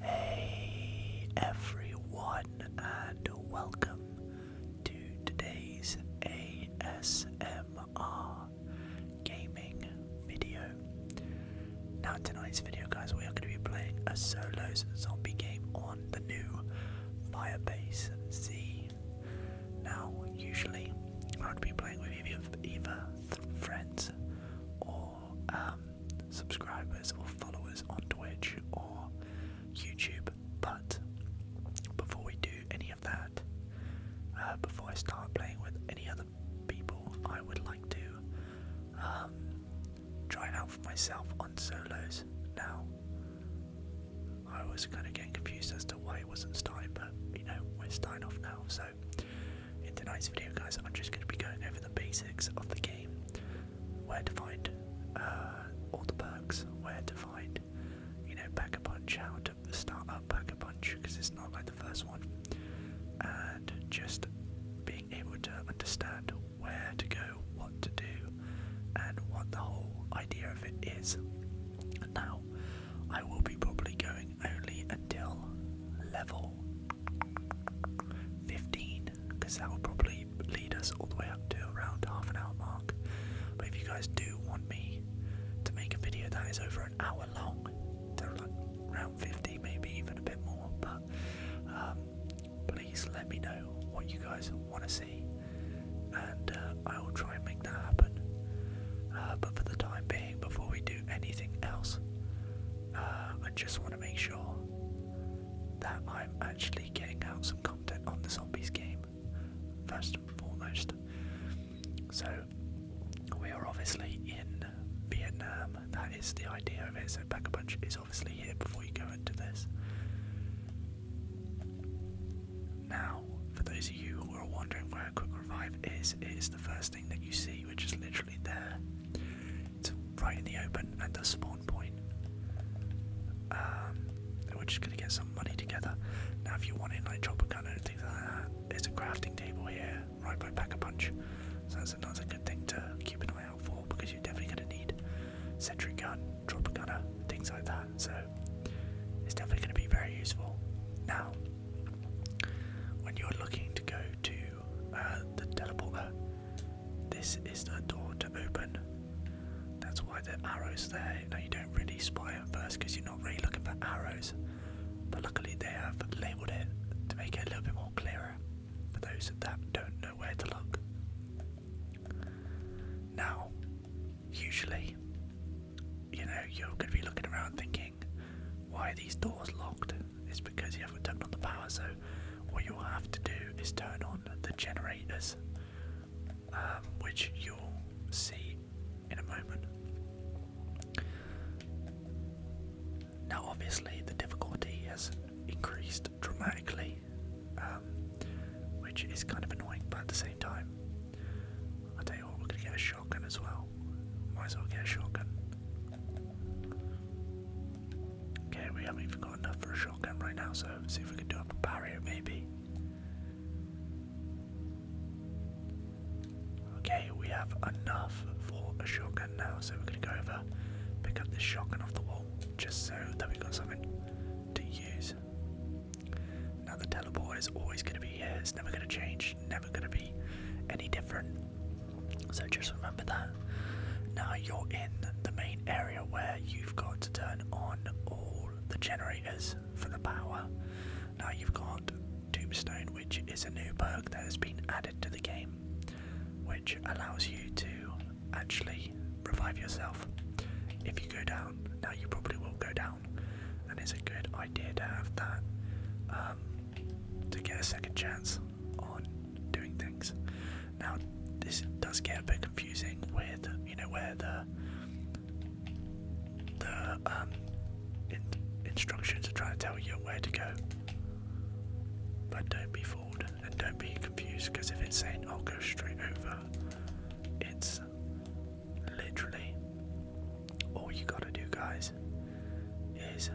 Hey everyone, and welcome to today's ASMR gaming video. Now, tonight's video, guys, we are going to be playing a solos zombie game on the new Firebase Z. Now, usually, I would be playing with either, either friends or um, subscribers or followers on Twitch or YouTube. But before we do any of that, uh, before I start playing with any other people, I would like to um, try it out for myself on solos now. I was kind of getting confused as to why it wasn't starting, but you know, we're starting off now. So, in tonight's video, guys, I'm just going to be going over the basics of the game, where to find uh, all the bugs? where to find, you know, pack a punch, how to start up uh, pack a punch because it's not like the first one, and just being able to understand where to go, what to do, and what the whole idea of it is. Now, I will be probably going only until level 15 because that will probably lead us all the way up to around half an hour mark. But if you guys do want me to make a video that is over an hour long, to like around 50, maybe even a bit more, but um, please let me know what you guys want to see, and uh, I will try and make that happen. Uh, but for the time being, before we do anything else, uh, I just want to make sure that I'm actually getting out some content on the zombies game, first and foremost. So, we are obviously in Vietnam, that is the idea of it. So, Pack a Punch is obviously here before you go into this. Now, for those of you who are wondering where a Quick Revive is, it is the first thing that you see, which is literally there right, right in the open at the spawn point. Um, we're just gonna get some money together. Now, if you want in like a gun and things like that, there's a crafting table here right by Pack a Punch, so that's another good thing to keep an eye out for because you're definitely gonna need sentry gun, drop chopper gunner, things like that. So it's definitely gonna be very useful. Now, when you're looking to go to uh, the teleporter, this is the door to open. That's why the arrow's there. Now, you don't really spy at first because you're not really looking for arrows, but luckily they have labelled it to make it a little bit more clearer for those that don't know where to look. Now, usually, you know, you're going to be looking around thinking, why are these doors locked? It's because you haven't turned on the power, so what you'll have to do is turn on the generators, um, which you'll see in a moment. Now, obviously, the difficulty has increased dramatically, um, which is kind of annoying, but at the same time, I tell you what, we're gonna get a shotgun as well. Might as well get a shotgun. Okay, we haven't even got enough for a shotgun right now, so see if we can do up a barrier maybe. Okay, we have enough for a shotgun now, so we're gonna go over, pick up this shotgun off the wall, just so that we've got something to use. Now the teleport is always gonna be here, it's never gonna change, never gonna be any different. So just remember that. Now you're in the main area where you've got to turn on all the generators for the power. Now you've got Tombstone, which is a new perk that has been added to the game, which allows you to actually revive yourself if you go down. Now you probably will go down, and it's a good idea to have that um, to get a second chance on doing things. Now, this does get a bit confusing with, you know, where the the um, instructions are trying to tell you where to go. But don't be fooled and don't be confused because if it's saying I'll go straight over, it's literally all you gotta do, guys, is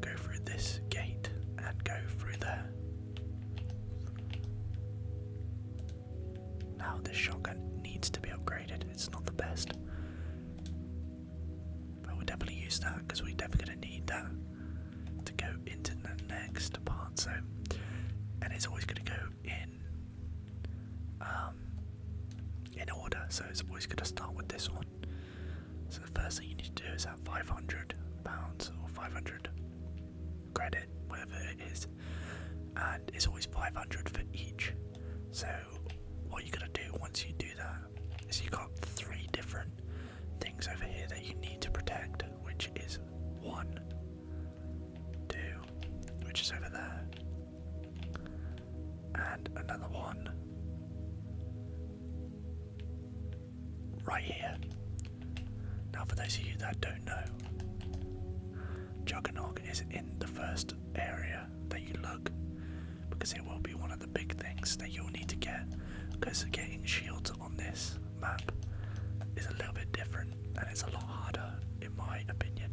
go through this gate and go through there. Now, this shotgun needs to be upgraded, it's not the best. But we'll definitely use that because we're definitely going to need that to go into the next part. So, and it's always going to go in um, in order. So it's always going to start with this one, so the first thing you need to do is have 500 pounds or 500 credit, whatever it is, and it's always 500 for each. So what you're gonna do once you do that is you you've got three different things over here that you need to protect, which is one, two, which is over there, and another one right here. Now, for those of you that don't know, Juggernog is in the first area that you look because it will be one of the big things that you'll need to get because getting shields on this map is a little bit different and it's a lot harder in my opinion.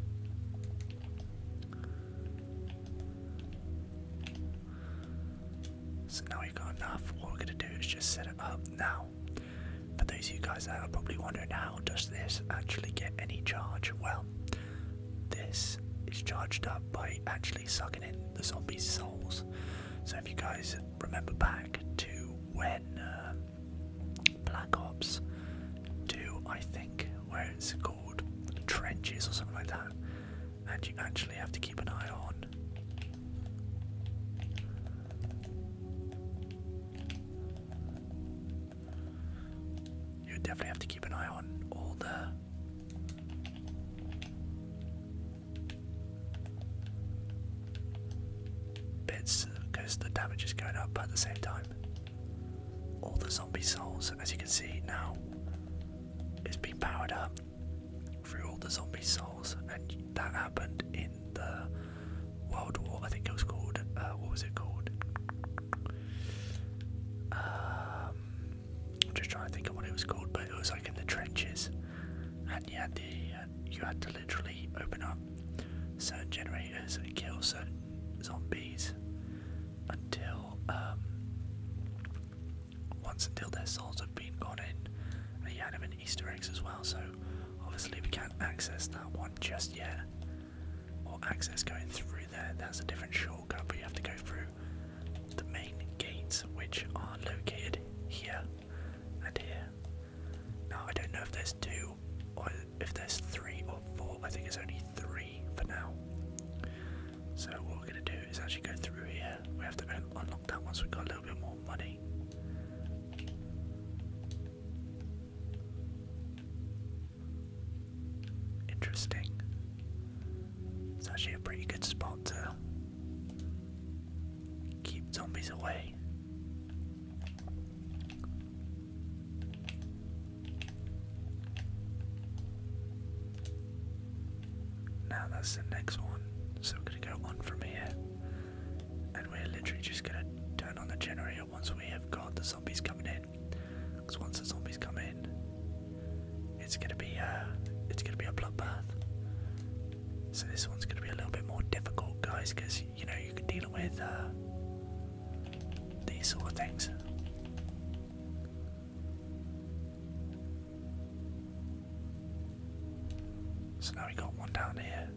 So now we've got enough. What we're going to do is just set it up now. For those of you guys that are probably wondering how does this actually get any charge? Well, this is charged up by actually sucking in the zombies' souls. So if you guys remember back to when uh, Black Ops 2, I think, where it's called Trenches or something like that, and you actually have to keep an eye on. You definitely have to keep an eye on all the bits because the damage is going up at the same time. All the zombie souls, as you can see now, is being powered up through all the zombie souls, and that happened in the World War. I think it was called. Uh, what was it called? Um, I'm just trying to think of what it was called, but it was like in the trenches, and you had the you had to literally open up certain generators and kill certain zombies until um, once until their souls have been gone in. And you had them Easter eggs as well, so obviously we can't access that one just yet. Or access going through there, that's a different shortcut, but you have to go through the main gates, which are located here and here. Now, I don't know if there's two or if there's three or four, I think it's only three for now. So what we're gonna do is actually go through here. We have to unlock that once we've got a little bit more money. Interesting. It's actually a pretty good spot to keep zombies away. Now that's the next one. So we're gonna go on from here. And we're literally just gonna turn on the generator once we have got the zombies coming in. Because once the zombies come in, it's gonna be uh it's gonna be a bloodbath. So this one's gonna be a little bit more difficult guys because you know you can deal with uh, these sort of things. So now we got one down here,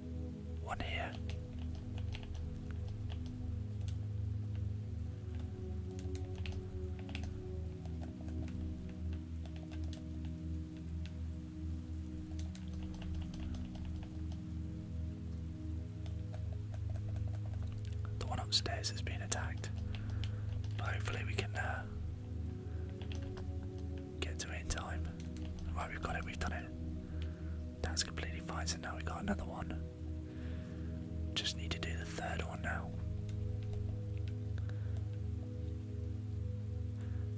one here. The one upstairs has been attacked hopefully we can uh, get to it in time. Right, we've got it, we've done it. That's completely fine, so now we've got another one. Just need to do the third one now.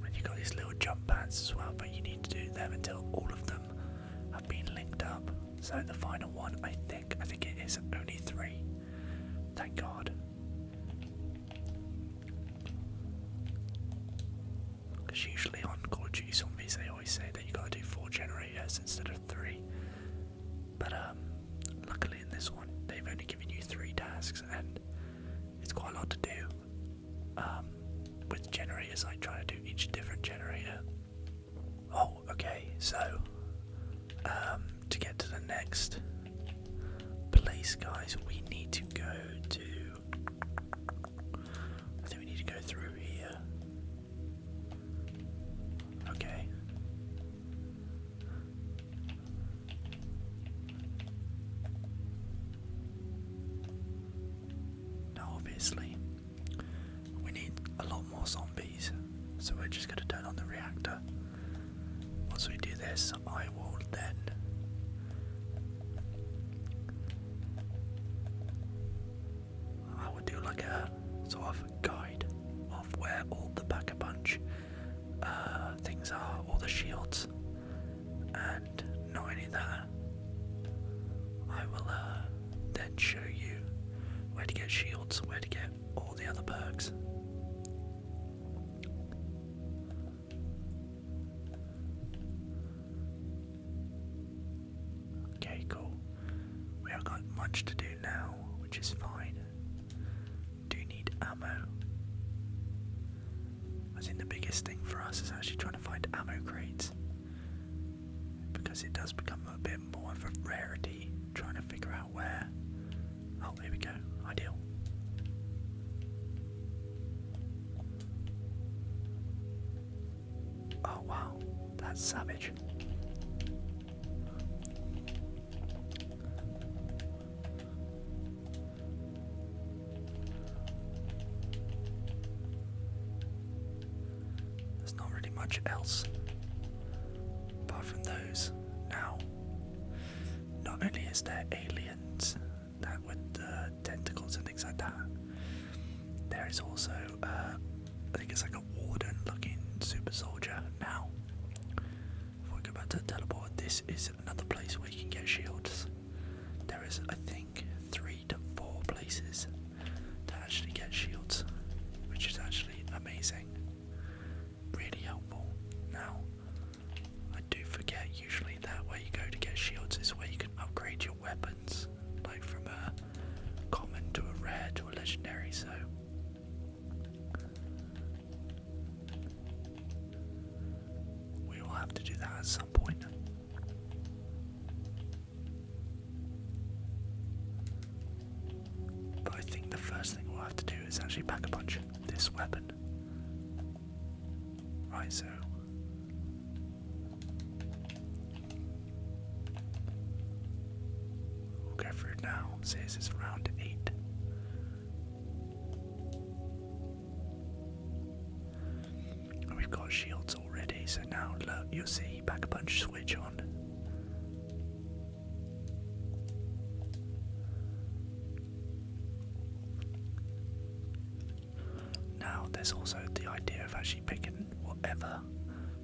And you got these little jump pads as well, but you need to do them until all of them have been linked up. So the final one, I think, I think it is only three. Thank God. Because usually on Call of Duty Zombies, they always say that you gotta do four generators instead of three. But um, luckily in this one, they've only given you three tasks, and it's quite a lot to do. Um, with generators, I try to do each different generator Oh, okay, so um, to get to the next place, guys, we need to go to. I think we need to go through here. Okay. Now, obviously, we need a lot more zombies, so we're just going to turn on the reactor. Once we do this, I will then. I will do like a sort of guide of where all the pack punch uh, things are, all the shields, and not only that, I will uh, then show you where to get shields, where to get Okay, cool. We haven't got much to do now, which is fine. Do need ammo. I think the biggest thing for us is actually trying to find ammo crates because it does become a bit more of a rarity trying to figure out where. Oh, here we go. Ideal. Oh, wow. That's savage. There's not really much else apart from those. Now, not only is there aliens that with tentacles and things like that, there is also, uh, I think it's like a warden looking super soldier. Now, if we go back to the teleport, this is another place where you can get shields. There is, I think, three to four places to actually get shields, which is actually amazing. Really helpful. Now, I do forget usually that where you go to get shields is where you can upgrade your weapons, like from a common to a rare to a legendary, so. We will have to do that at some point. But I think the first thing we'll have to do is actually pack a punch this weapon. Right, so. We'll go now. says it's round 8. And we've got shields already, so now look, you'll see the back punch switch on. Now, there's also the idea of actually picking whatever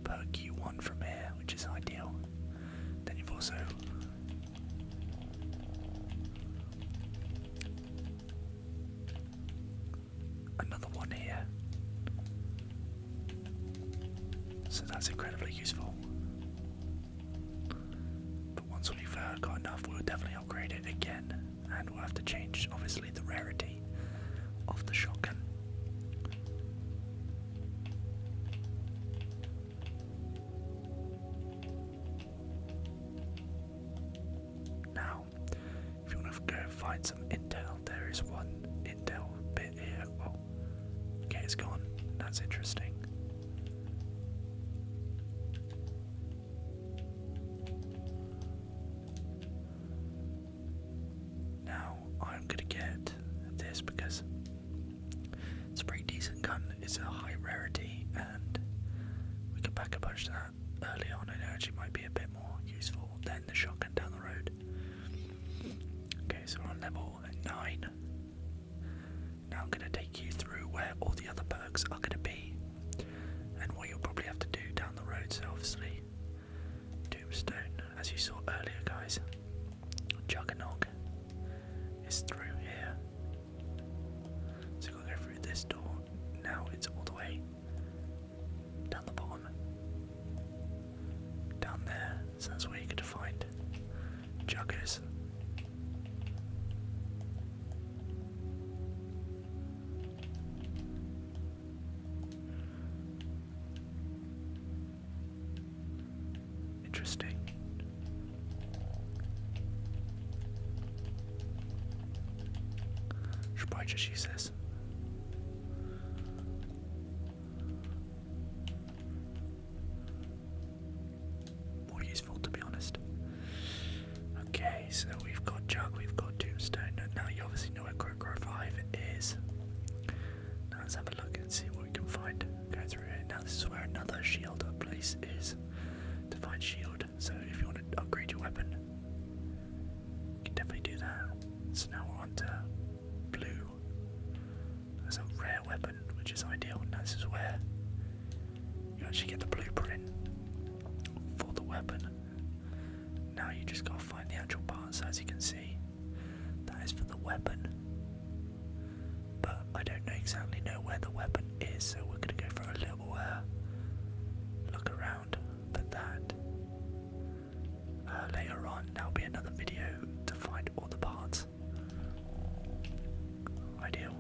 perk you want from here, which is ideal. Then you've also another one here. So that's incredibly useful. But once we've uh, got enough, we'll definitely upgrade it again, and we'll have to change, obviously, the rarity of the shotgun. Now, if you want to go find intel. There is one intel bit here. Oh, okay, it's gone. That's interesting. Now I'm gonna get this because it's a pretty decent gun. It's a high rarity, and we can pack a bunch of that early on. it actually might be a bit more useful than the shotgun down the road. Okay, so we're on level 9. Now I'm going to take you through where all the other perks are going to be and what you'll probably have to do down the road. So, obviously, Doomstone, as you saw earlier, guys, Juggernog is through here. So, you've got to go through this door. Now it's all the way down the bottom. Down there, so that's where you could find juggers. Interesting. Should probably just use this. More useful to be honest. Okay, so we've got jug, we've got tombstone. Now you obviously know where Crocro 5 is. Now let's have a look and see what we can find. Go through here. Now this is where another shield place is to find shield. So if you want to upgrade your weapon, can definitely do that. So now we're on to blue. That's a rare weapon, which is ideal, and this is where you actually get the blueprint for the weapon. Now you just gotta find the actual parts, so as you can see, that is for the weapon. But I don't exactly know where the weapon is, so we're gonna go for a little uh, look around. But that uh, later on. There'll be another video to find all the parts. Ideal,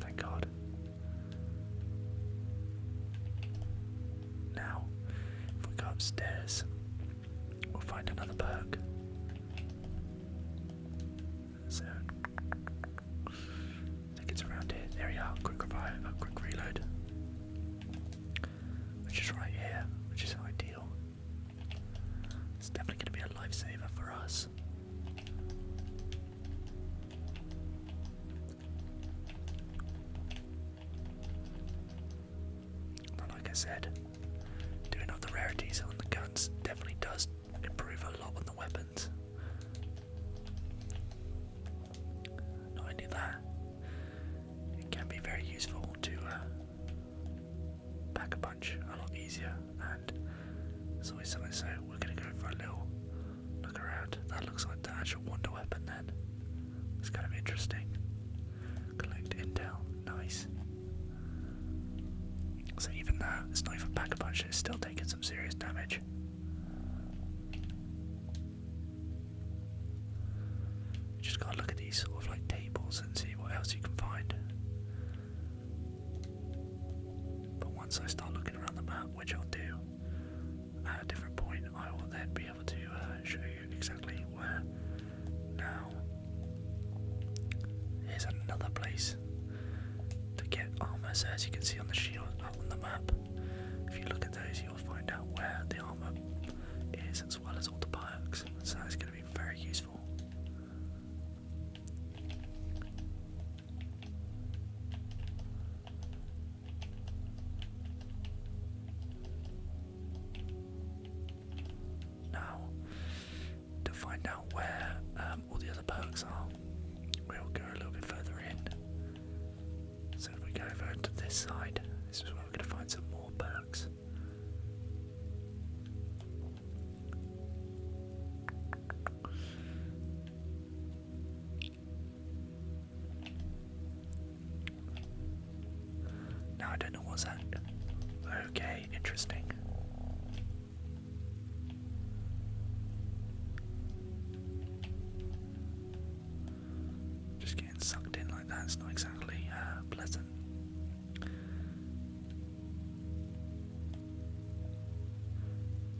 thank God. Now, if we go upstairs, we'll find another perk. So, I think it's around here. There we are. Quick revive, uh, quick reload which is right here, which is ideal. It's definitely going to be a lifesaver for us. like I said, doing up the rarities on the guns definitely does improve a lot on the weapons. Not only that, it can be very useful to uh, pack a bunch a lot easier, and it's always something. So we're gonna go for a little look around. That looks like the actual wonder weapon. Then it's kind of interesting. Collect intel. Nice. So even that, it's not even pack a bunch. It's still taking some serious damage. Just gotta look at these sort of like tables and see what else you can find. But once I start looking around the map, which I'll do at a different point, I will then be able to uh, show you exactly where. Now, here's another place to get armor. as you can see on the shield on the map, if you look at those, you find out where the armor is as well as all the perks, so it's going to be very useful. Now, to find out where um, all the other perks are, we'll go a little bit further in so if we go over to this side, this is where we're going to find some more bugs. Now I don't know what's that. Okay, interesting. Just getting sucked in like that—it's not exactly uh, pleasant.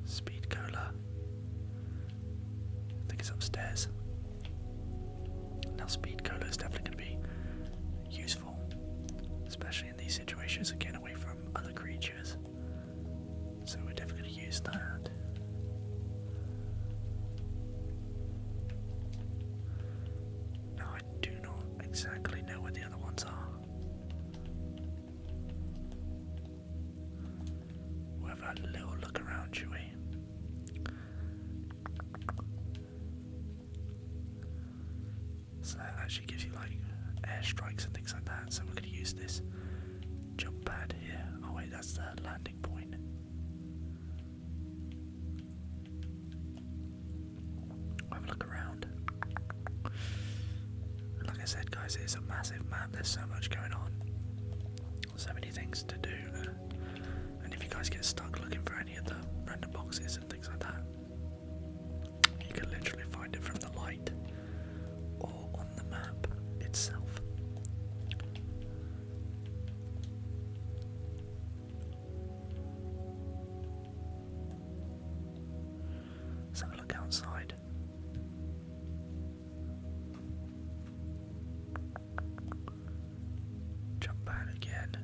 Speed cola. I think it's upstairs. Now, speed cola is definitely going to be useful, especially in these situations, again, away from other creatures. So we're definitely going to use that. I do not exactly know where the other ones are. we have a little look around, shall So that actually gives you like airstrikes and things like that. So we're going to use this jump pad here. Oh wait, that's the landing point. Have a look around. Like I said, guys, it's a massive map. There's so much going on, so many things to do. Uh, and if you guys get stuck looking for any of the random boxes and things like that, you can literally find it from the light or on the map itself. have a look outside. Jump out again.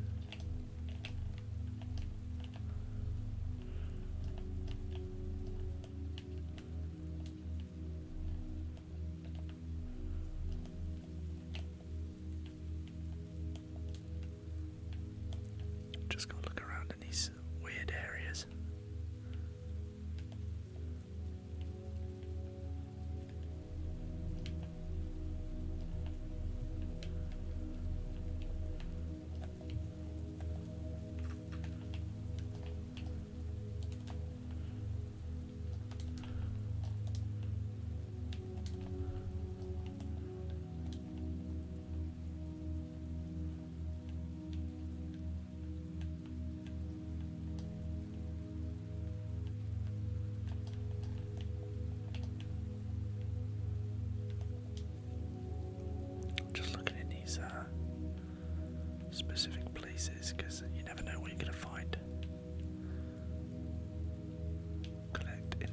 Just gonna look around in these weird areas. Just looking at these specific places because you never know what you're gonna find. Collect in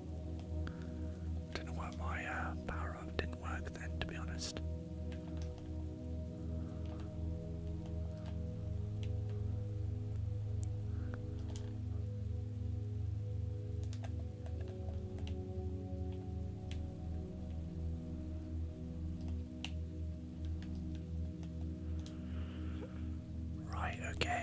Don't know why my uh, power up didn't work then, to be honest. Right, okay.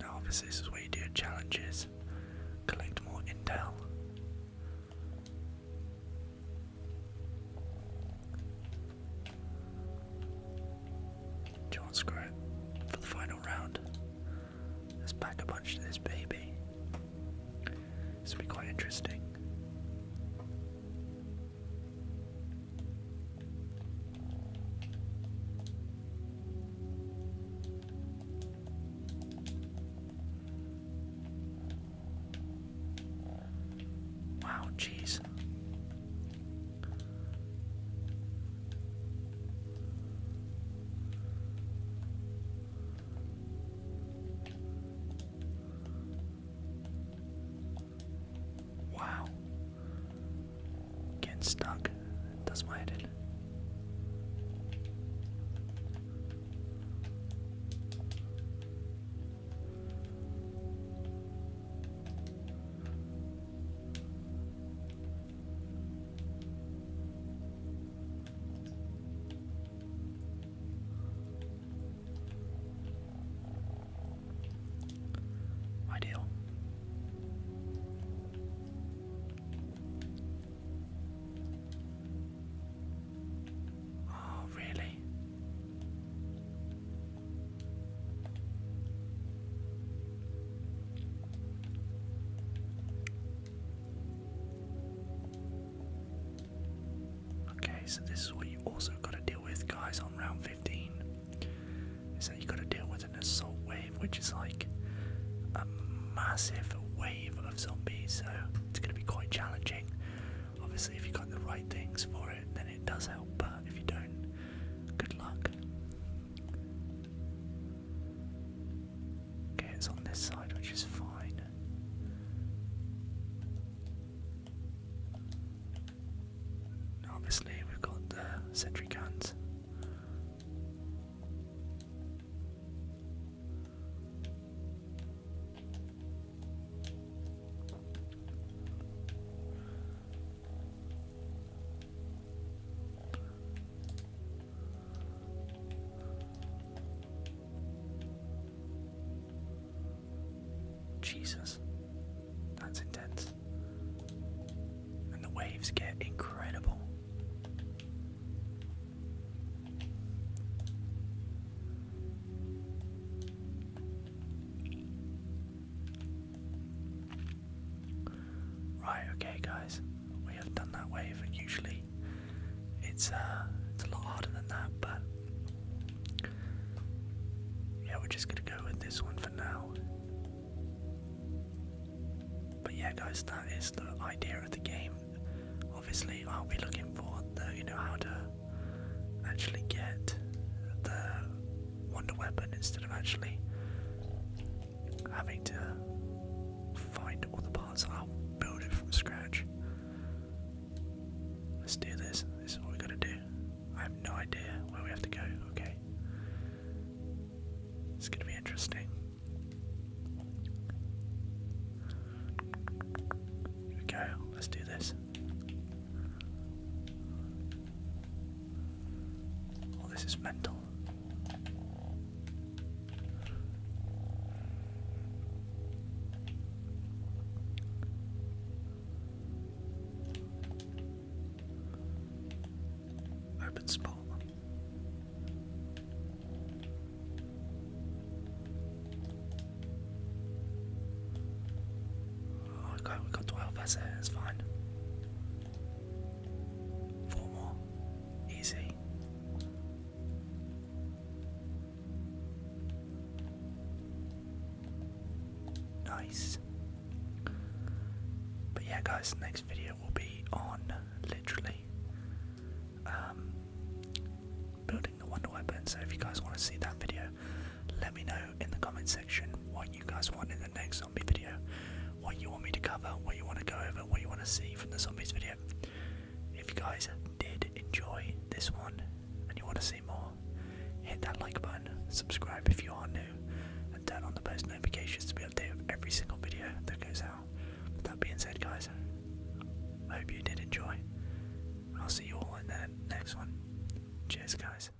Now, obviously, this is where you do your challenges, collect more intel. Do screw it for the final round? Let's pack a bunch to this baby. This will be quite interesting. Wow, jeez. Wow. Getting stuck. That's my head in. Ideal. Oh, really? Okay, so this is what you also gotta deal with, guys, on round 15. Is that you gotta deal with an assault wave, which is like a massive wave of zombies, so it's gonna be quite challenging. Obviously, if you got the right things for it, then it does help, but if you don't, good luck. Okay, it's on this side, which is fine. obviously, we've got the sentry guns. Jesus, that's intense. And the waves get incredible. Right, okay guys, we have done that wave and usually it's uh it's a lot harder than that, but yeah, we're just gonna go with this one for now. But yeah guys, that is the idea of the game. Obviously I'll be looking for the you know how to actually get the Wonder Weapon instead of actually having to find all the parts. i build it from scratch. Let's do this. This is what we gotta do. I have no idea where we have to go. Okay. It's gonna be interesting. Here Let's do this. Oh, this is mental. Open spot. Oh, we got, got 12, that's it, that's fine. Four more, easy. Nice. But yeah, guys, next video will be on literally um, building the Wonder Weapon. So if you guys want to see that video, let me know in the comment section what you guys want in the next zombie video, what you want me to cover, what you want to go over, what you want to see from the zombies video. If you guys did enjoy this one and you want to see more, hit that like button, subscribe if you are new, and turn on the post notifications to be updated with every single video that goes out. With that being said, guys, I hope you did enjoy. I'll see you all in the next one. Cheers, guys.